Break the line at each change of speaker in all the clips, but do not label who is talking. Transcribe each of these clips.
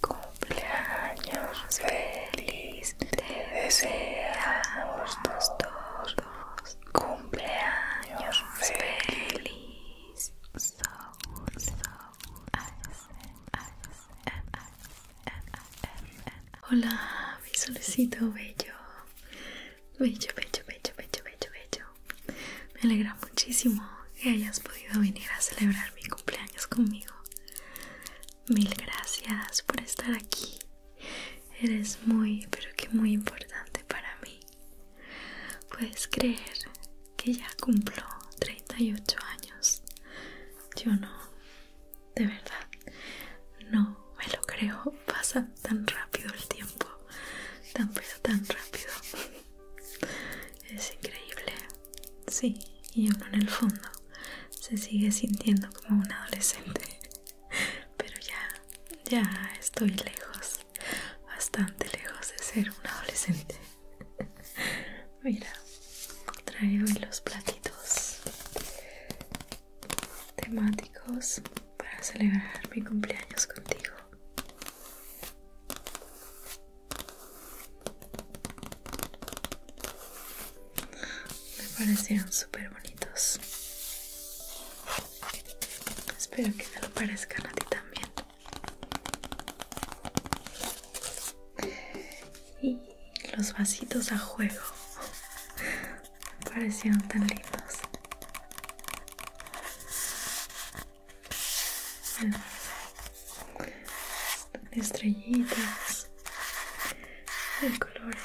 Cumpleaños feliz, te deseamos todos, Cumpleaños feliz. So, so, Hola, mi solecito bello. Bello, bello, bello, bello, bello, Me alegra muchísimo que hayas podido venir a celebrar mi cumpleaños conmigo. Mil gracias por estar aquí. Eres muy, pero que muy importante para mí. Puedes creer que ya cumplo 38 años. Yo no, de verdad, no me lo creo. Pasa tan rápido el tiempo, tan pero tan rápido. Es increíble. Sí, y uno en el fondo se sigue sintiendo como un adolescente. Pero ya, ya estoy lejos, bastante lejos de ser un adolescente. Mira, traigo los platitos temáticos para celebrar mi cumpleaños contigo. Me parecieron súper bonitos. Espero que te lo parezcan a ti también y los vasitos a juego parecieron tan lindos estrellitas de colores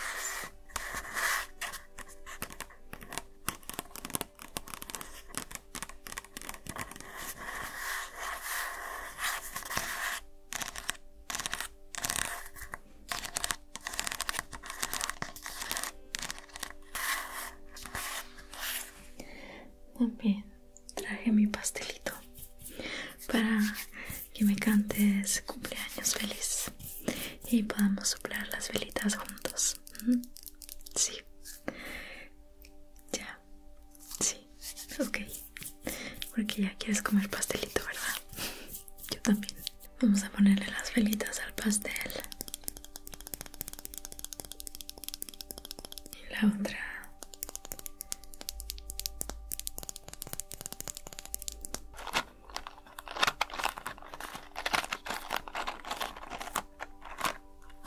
también traje mi pastelito para que me cantes cumpleaños feliz y podamos soplar las velitas juntos. Sí, ya, sí, ok. Porque ya quieres comer pastelito, ¿verdad? Yo también. Vamos a ponerle las velitas al pastel. Y la otra.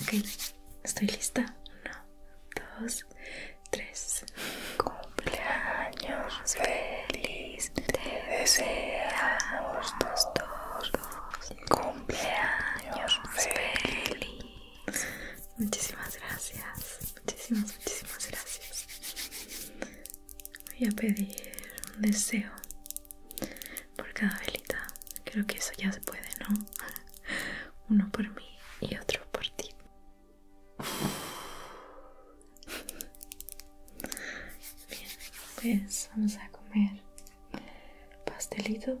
Ok, estoy lista. Uno, dos, tres. Cumpleaños feliz. Te deseamos todos. Cumpleaños feliz. Muchísimas gracias, muchísimas, muchísimas gracias. Voy a pedir un deseo por cada velita. Creo que eso ya se puede, ¿no? Uno por mí y otro por ti. Bien, pues vamos a comer pastelito.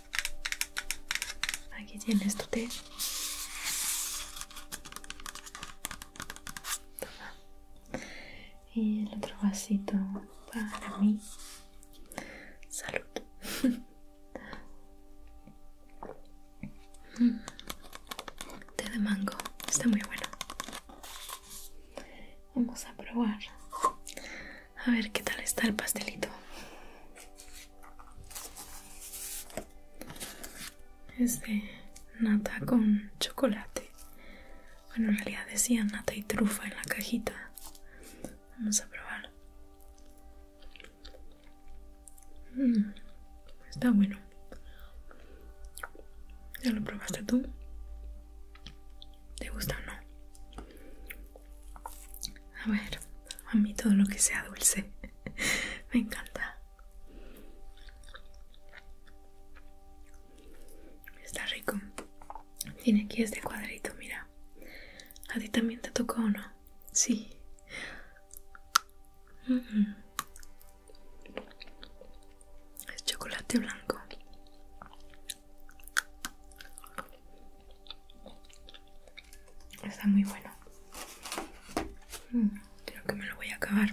Aquí tienes tu té. Y el otro vasito para mí. Salud. té de mango. Está muy bueno. Vamos a probar a ver qué tal está el pastelito. Es nata con chocolate. Bueno, en realidad decía nata y trufa en la cajita. Vamos a probar. Mm, está bueno. ¿Ya lo probaste tú? ¿Te gusta o no? A ver, a mí todo lo que sea dulce me encanta. Está rico. Tiene aquí este cuadrito, mira. ¿A ti también te tocó o no? Sí. Es chocolate blanco. Está muy bueno. Mm, creo que me lo voy a acabar.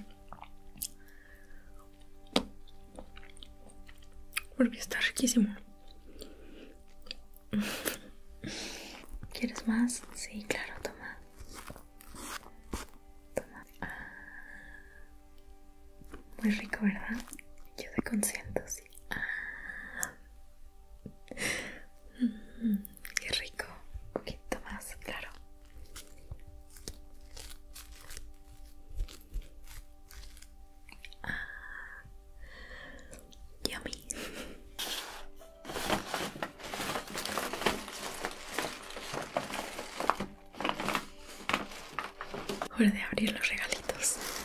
Porque está riquísimo. ¿Quieres más? Sí, claro, toma. Ah. muy rico, ¿verdad? Yo te consiento, sí. Mm, qué rico. Un poquito más, claro. Ah, yummy. Hora de abrir los regalitos.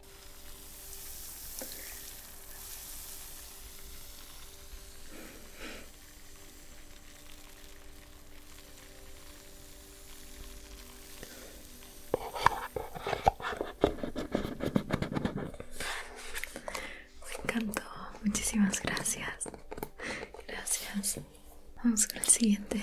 Me encantó, muchísimas gracias. Gracias. Vamos con el siguiente.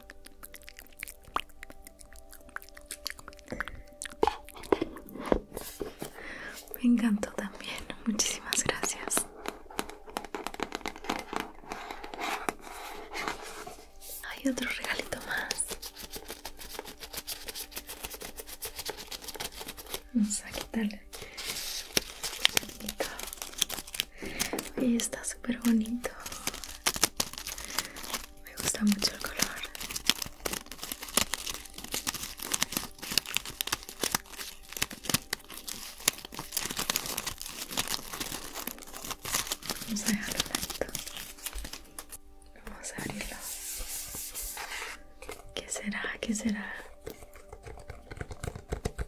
Me encantó también, muchísimas gracias. Hay otro regalito más. Vamos a quitarle y está súper bonito me gusta mucho el color vamos a dejarlo tanto, vamos a abrirlo ¿qué será? ¿qué será?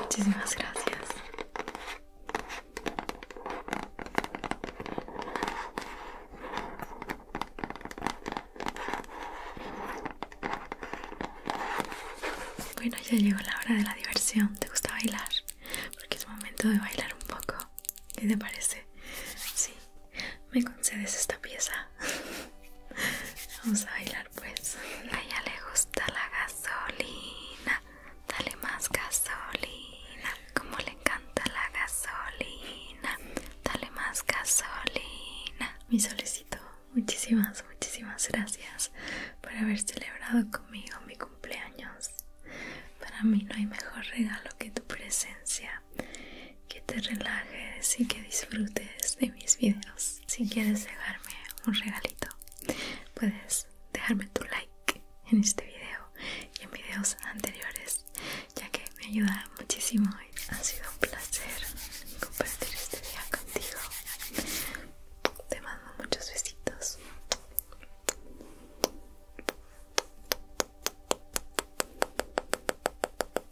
Muchísimas gracias. Bueno, ya llegó la hora de la diversión. ¿Te gusta bailar? Porque es momento de bailar un poco. ¿Qué te parece? Sí, me concedes esta pieza. Vamos a bailar pues. A ella le gusta la gasolina, dale más gasolina, como le encanta la gasolina, dale más gasolina. Mi solicito muchísimas, muchísimas gracias por haber celebrado conmigo mi cumpleaños. Para mí no hay mejor regalo que tu presencia, que te relajes y que disfrutes de mis videos si quieres dejarme un regalito, puedes dejarme tu like en este video y en videos anteriores, ya que me ayuda muchísimo. Ha sido un placer compartir este día contigo. Te mando muchos besitos.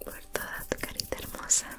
Por toda tu carita hermosa